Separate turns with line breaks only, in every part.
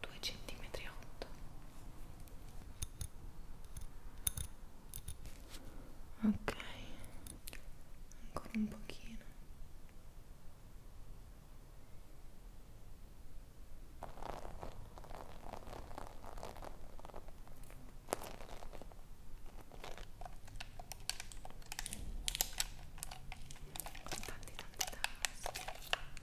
2 centimetri 8 ok ancora un pochino Tanti, tanti, tanti.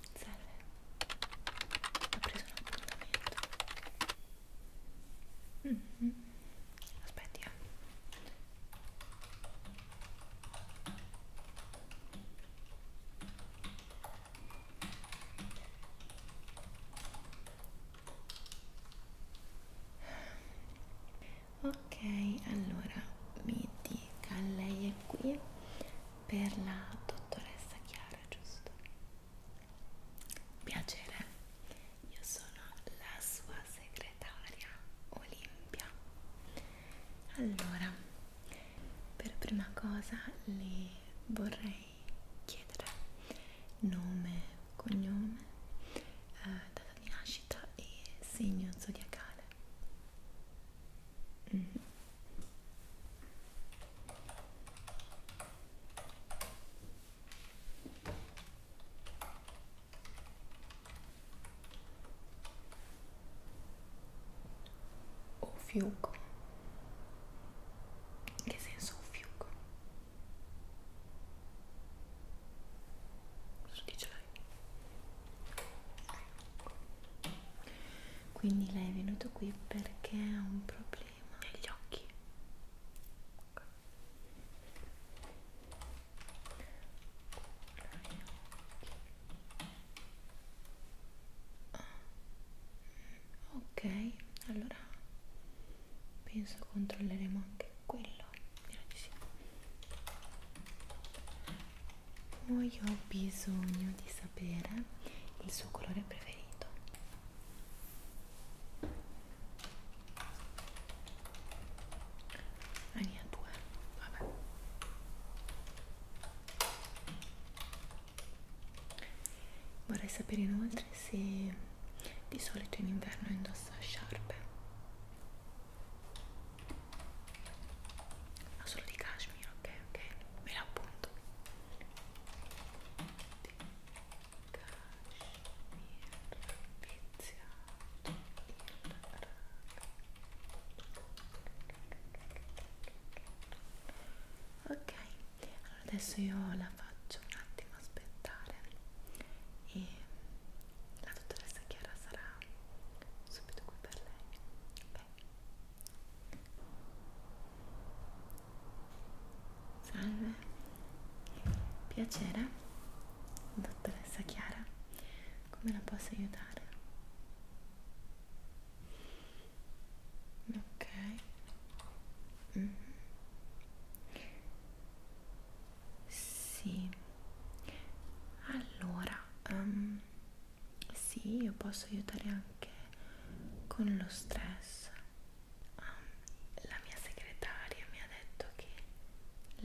serve ho preso un appuntamento mm -hmm. aspetti eh. Ok, allora mi dica lei è qui per la dottoressa Chiara, giusto? Piacere, io sono la sua segretaria Olimpia. Allora, per prima cosa le vorrei chiedere nome, cognome, eh, data di nascita e segno zodiacale. Mm -hmm o fiuco in che senso un fiuco? cosa dice lei? quindi lei è venuto qui perché ha un problema negli occhi ok allora penso controlleremo anche quello io ho bisogno di sapere il suo colore preferito Ah, ne ha due, vabbè Vorrei sapere inoltre se di solito in inverno indossa sciarpe Ah, solo di cashmere, ok, ok, me l'appunto ok allora adesso io la faccio un attimo aspettare e la dottoressa Chiara sarà subito qui per lei ok Salve, piacere, dottoressa Chiara, come la posso aiutare? Ok. Mm -hmm. Sì. Allora, um, sì, io posso aiutare anche con lo stress. Um, la mia segretaria mi ha detto che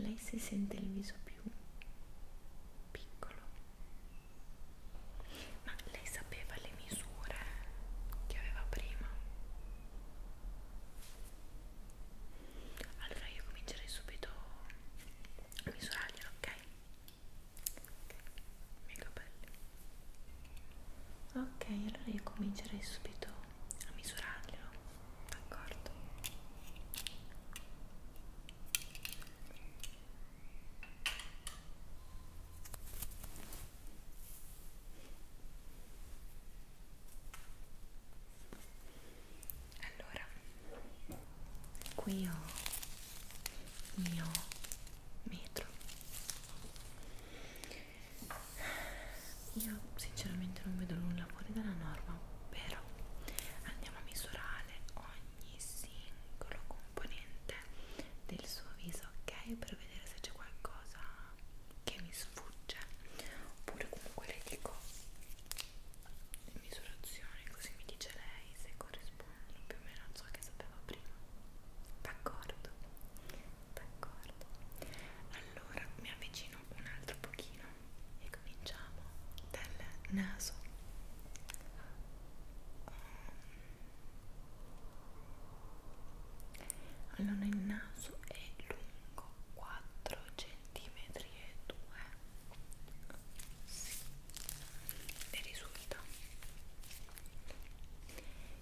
lei si sente il viso più piccolo. Ma lei sapeva le misure che aveva prima? Allora io comincerei subito a misurarglielo, ok? mega belli ok allora io comincerei subito a misurarli d'accordo allora qui ho il mio metro io sinceramente non vedo nulla fuori dalla norma però andiamo a misurare ogni singolo componente del suo viso ok per vedere se c'è qualcosa che mi sfugge oppure comunque le dico le misurazioni così mi dice lei se corrisponde più o meno ciò che sapevo prima d'accordo d'accordo allora mi avvicino un altro pochino e cominciamo dal naso allora il naso è lungo 4 cm e 2 sì e risulta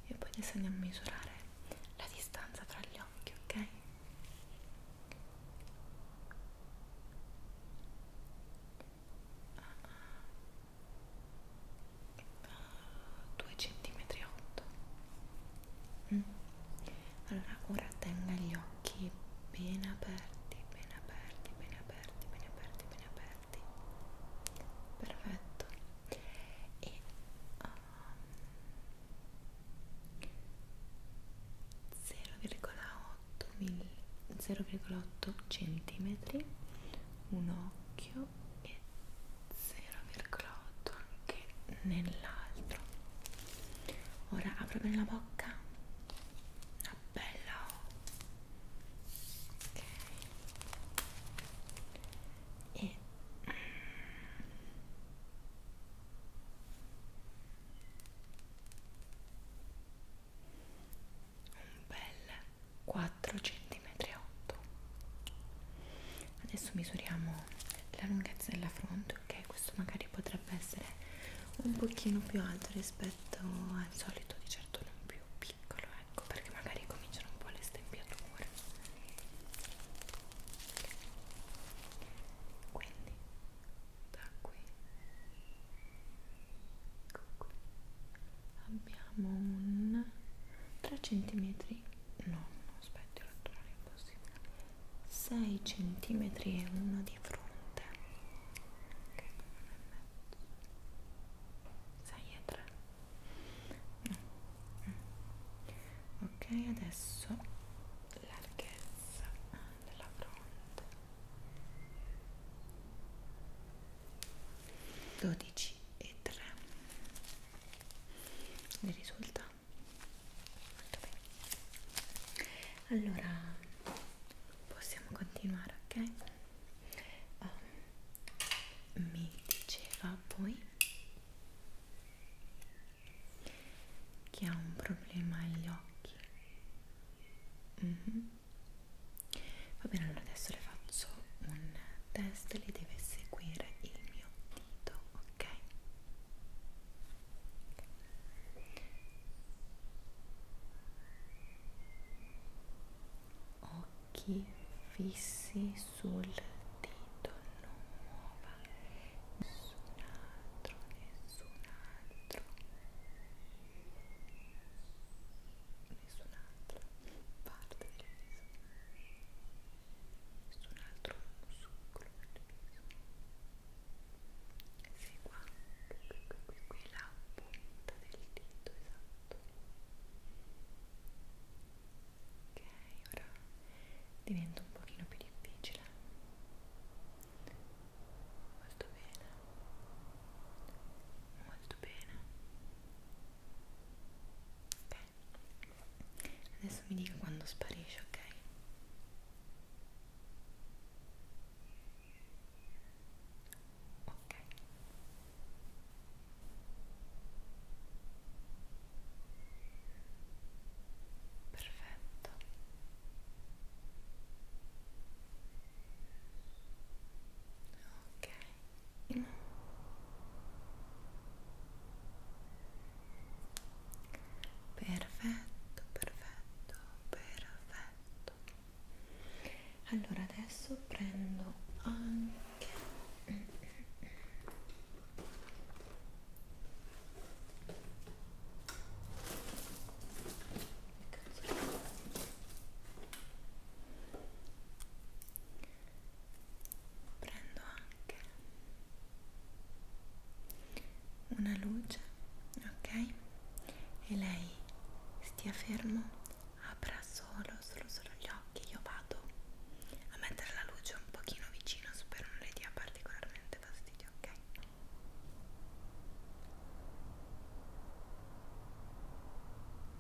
e poi adesso andiamo a misurare la distanza tra gli occhi ok due centimetri otto mm. allora ora tenga gli occhi ben aperti ben aperti ben aperti aperti, bene aperti, bene aperti perfetto e um, 0,8 cm un occhio e 0,8 anche nell'altro ora apro bene la bocca bella ok oh. e mm. un bel 4 cm 8 adesso misuriamo la lunghezza della fronte ok questo magari potrebbe essere un pochino più alto rispetto pezzetto al solito di certo non più piccolo ecco perché magari cominciano un po' le stempiature quindi da qui ecco qui abbiamo un 3 cm no aspetta non è impossibile 6 cm e uno di fronte che okay, non è meglio 6 e 3 ok adesso larghezza della fronte 12 e 3 mi risulta molto bene allora possiamo continuare ok um, mi diceva poi che ha un problema agli occhi mm -hmm. va bene allora adesso le faccio un test le deve seguire il mio dito ok occhi fissi sul dito non muova nessun altro nessun altro nessun'altra parte del viso nessun altro muscolo del viso segua qui la punta del dito esatto ok ora diventa un pochino più difficile molto bene molto bene ok adesso mi dica quando sparisce ok ok perfetto ok mm. perfetto perfetto perfetto perfetto allora adesso prendo anche prendo anche una luce, ok? E lei stia fermo, apra solo, solo, solo gli occhi. Io vado a mettere la luce un pochino vicino, spero non le dia particolarmente fastidio, ok?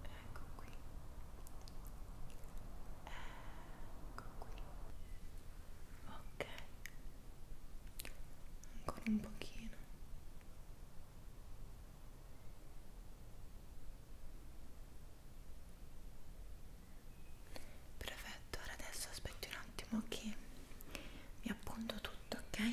Ecco qui. Ecco qui. Ok, ancora un pochino perfetto ora adesso aspetti un attimo che mi appunto tutto ok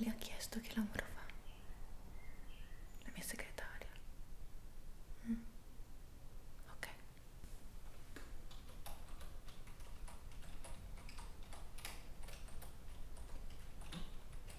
Le ha chiesto che lavoro fa la mia segretaria. Mm. Ok.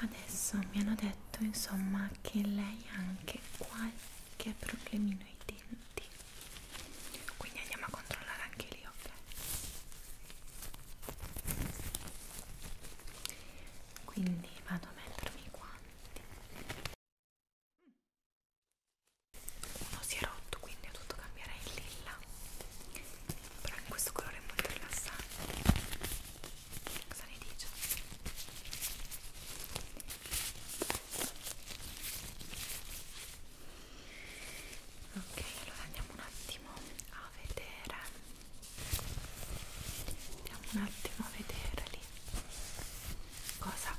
adesso mi hanno detto insomma che lei ha anche qualche problemino ai denti quindi andiamo a controllare anche lì ok quindi vado a mettermi i guanti uno oh, si è rotto quindi ho dovuto cambiare il lilla però in questo colore è molto rilassante cosa ne dice? ok allora andiamo un attimo a vedere andiamo un attimo a vedere lì cosa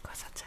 cosa c'è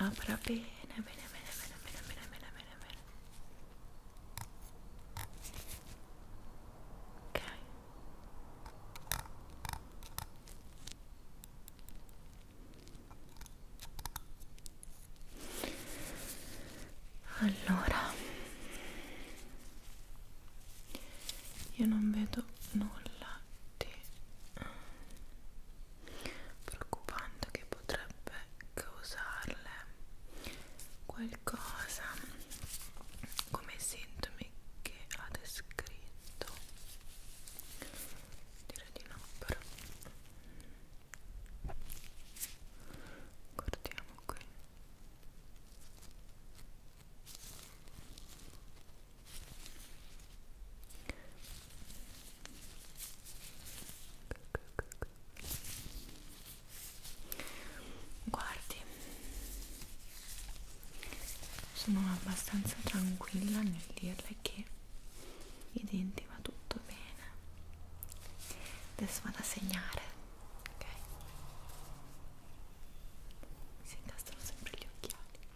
e apra bene bene bene bene bene bene bene bene bene ok allora io non vedo nulla di preoccupante che potrebbe causarle qualcosa come i sintomi che ha descritto direi di no però guardiamo qui Guardi, sono abbastanza tranquilla nel dirle che i denti va tutto bene. Adesso vado a segnare, ok? si incastrano sempre gli occhiali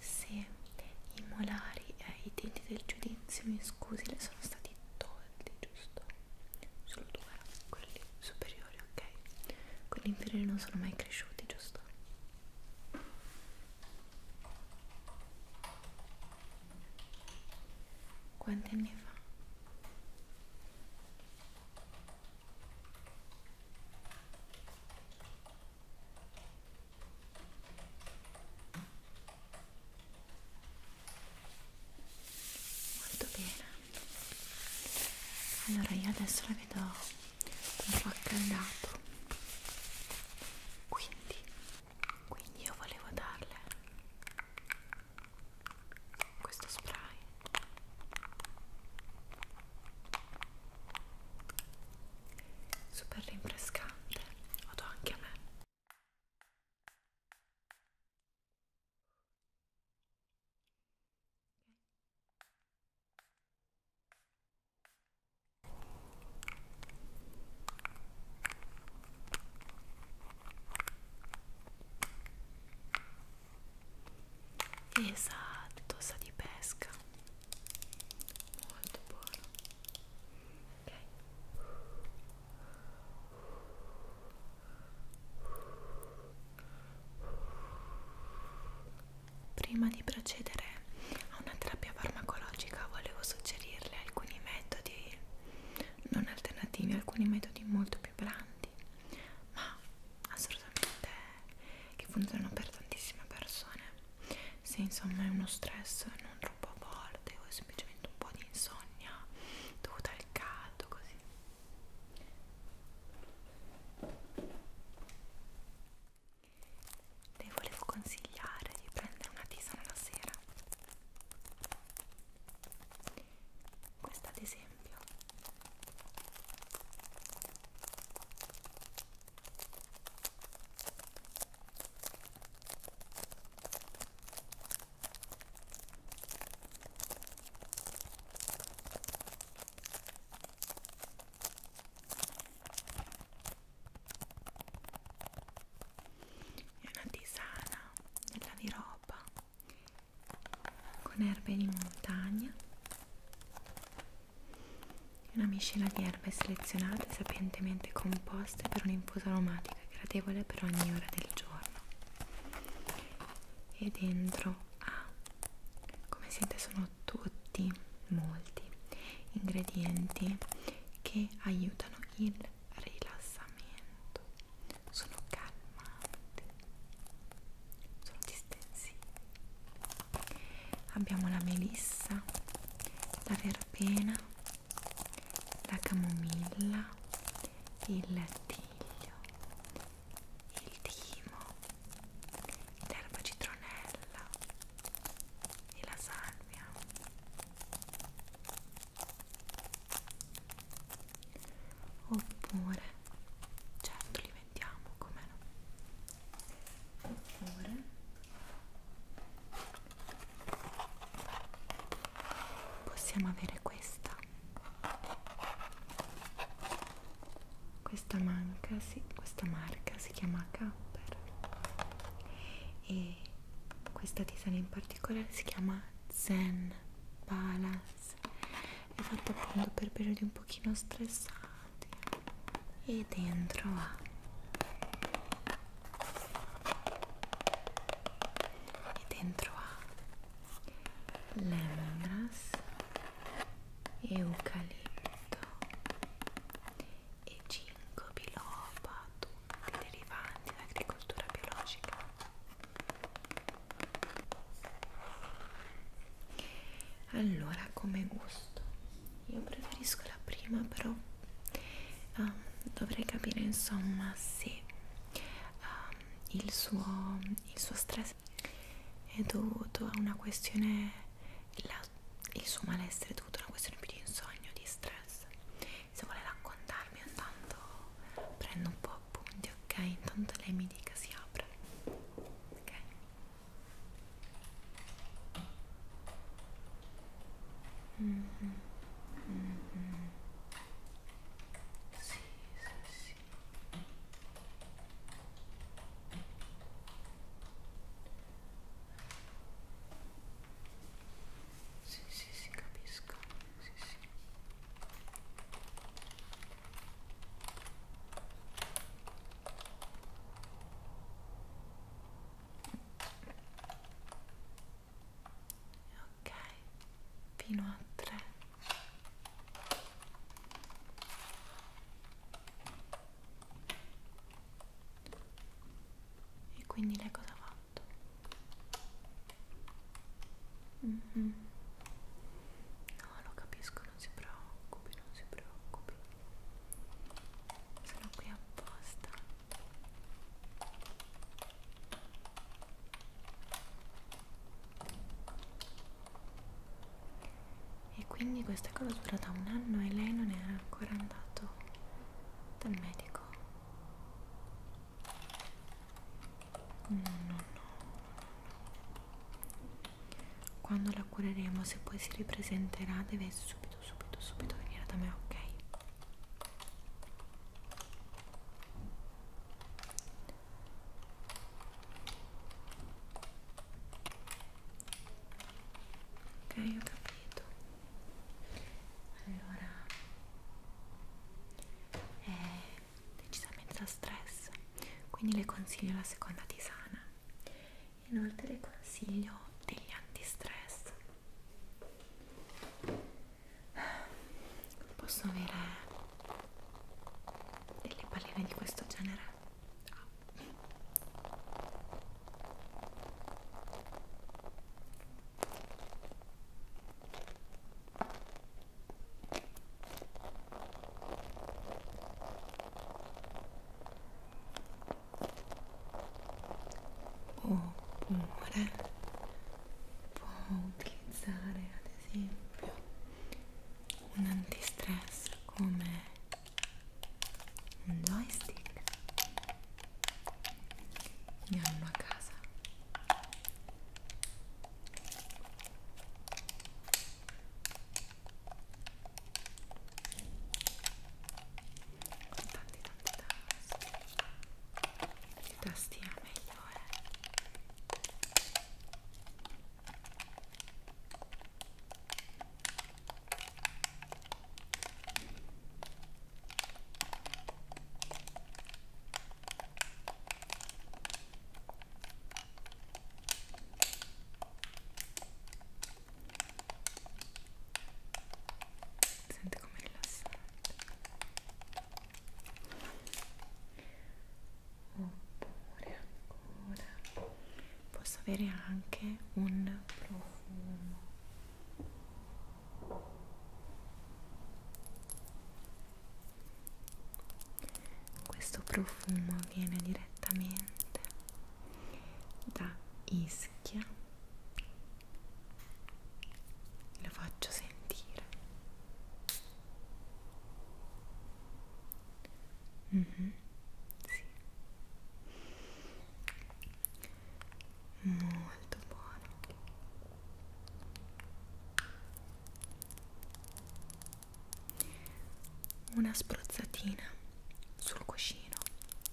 se i molari e i denti del giudizio, mi scusi, le sono stati tolti, giusto? Solo due, quelli superiori, ok? Quelli inferiori non sono mai cresciuti, giusto? Quanti anni fa? molto bene allora io adesso la vedo un po' accaldata quindi quindi io volevo darle questo spray super rinfrescante vado anche a me Okay. Esatto, sa di pesca. Molto buono. Ok. Prima di procedere a una terapia farmacologica volevo suggerirle alcuni metodi non alternativi, alcuni metodi molto più blandi, ma assolutamente che funzionano per tantissime persone. Se insomma è uno stress non troppo forte o semplicemente un po' di insonnia dovuta al caldo così le volevo consigliare di prendere una tisana la sera questa ad esempio è una tisana nella di roba con erbe di montagna una miscela di erbe selezionate sapientemente composte per un infuso aromatica gradevole per ogni ora del giorno e dentro ha ah, come siete sono tutti molti ingredienti che aiutano il rilassamento sono calmanti sono distensivi abbiamo la melissa la verbena la camomilla, il lattiglio, il timo, l'erba citronella e la salvia. Oppure, certo li vendiamo, come no? Oppure possiamo avere questa questa manca sì, questa marca si chiama Capper e questa tisana in particolare si chiama Zen Palace è fatta appunto per periodi un pochino stressati e dentro ha e dentro ha lemongrass, eucalipto e ginkgo biloba, tutti derivanti dall'agricoltura biologica. Allora, come gusto, io preferisco la prima però um, dovrei capire insomma se um, il, suo, il suo stress è dovuto a una questione, la, il suo malessere è dovuto a una questione più di insonnia di stress. Se vuole raccontarmi intanto prendo un po' appunti, ok? Intanto lei mi dica si apre. Ok. Mm -hmm. Mm -hmm. Sì, sì, sì. Sì, sì, sì, capisco. Sì, sì ok fino a 3 e quindi lei cosa ha fatto? Mm -hmm. no lo capisco non si preoccupi non si preoccupi sono qui apposta e quindi questa cosa è durata un anno e lei non era ancora andato dal medico. No, no, no. Quando la cureremo, se poi si ripresenterà, deve subito subito, subito, subito venire da me, ok? Ok, ho capito. Allora è decisamente da stress, quindi le consiglio la seconda tisana. Inoltre le consiglio degli antistress Posso avere delle palline di questo genere? Ah oppure può utilizzare ad esempio un antistress come un joystick ne hanno a casa tanti tanti tasti più tasti è meglio eh. Senti come rilassante. Oppure ancora posso avere anche un profumo. Questo profumo viene direttamente da Ischia lo faccio sentire mm -hmm. sì. molto buono una spruzzatina sul cuscino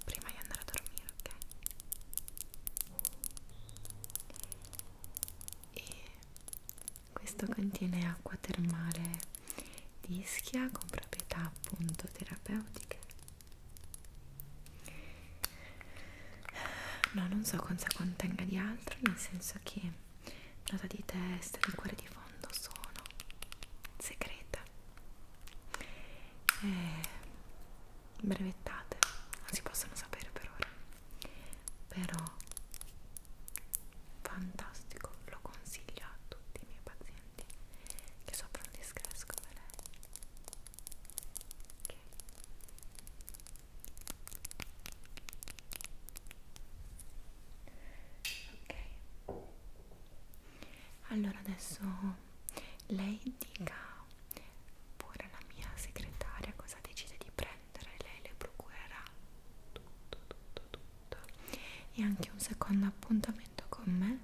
prima di andare a dormire, ok? E questo contiene acqua termale di ischia con proprietà appunto terapeutiche. No, non so cosa contenga di altro, nel senso che nota di testa, di cuore di fondo sono segreta eh, brevettate non si possono sapere per ora però fantastico lo consiglio a tutti i miei pazienti che soffrono di stress come lei okay. ok allora adesso lei dica pure alla mia segretaria cosa decide di prendere lei le procurerà tutto tutto tutto e anche un secondo appuntamento con me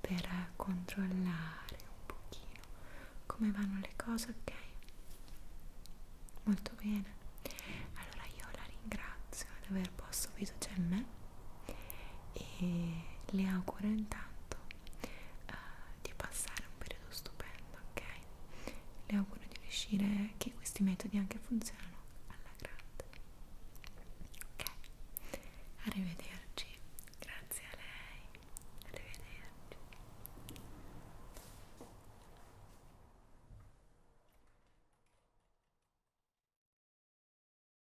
per controllare un pochino come vanno le cose ok molto bene allora io la ringrazio di aver posto fiducia in me e le auguro intanto uh, di passare un periodo stupendo, ok? Le auguro di riuscire che questi metodi anche funzionano alla grande. Ok, arrivederci, grazie a lei, arrivederci.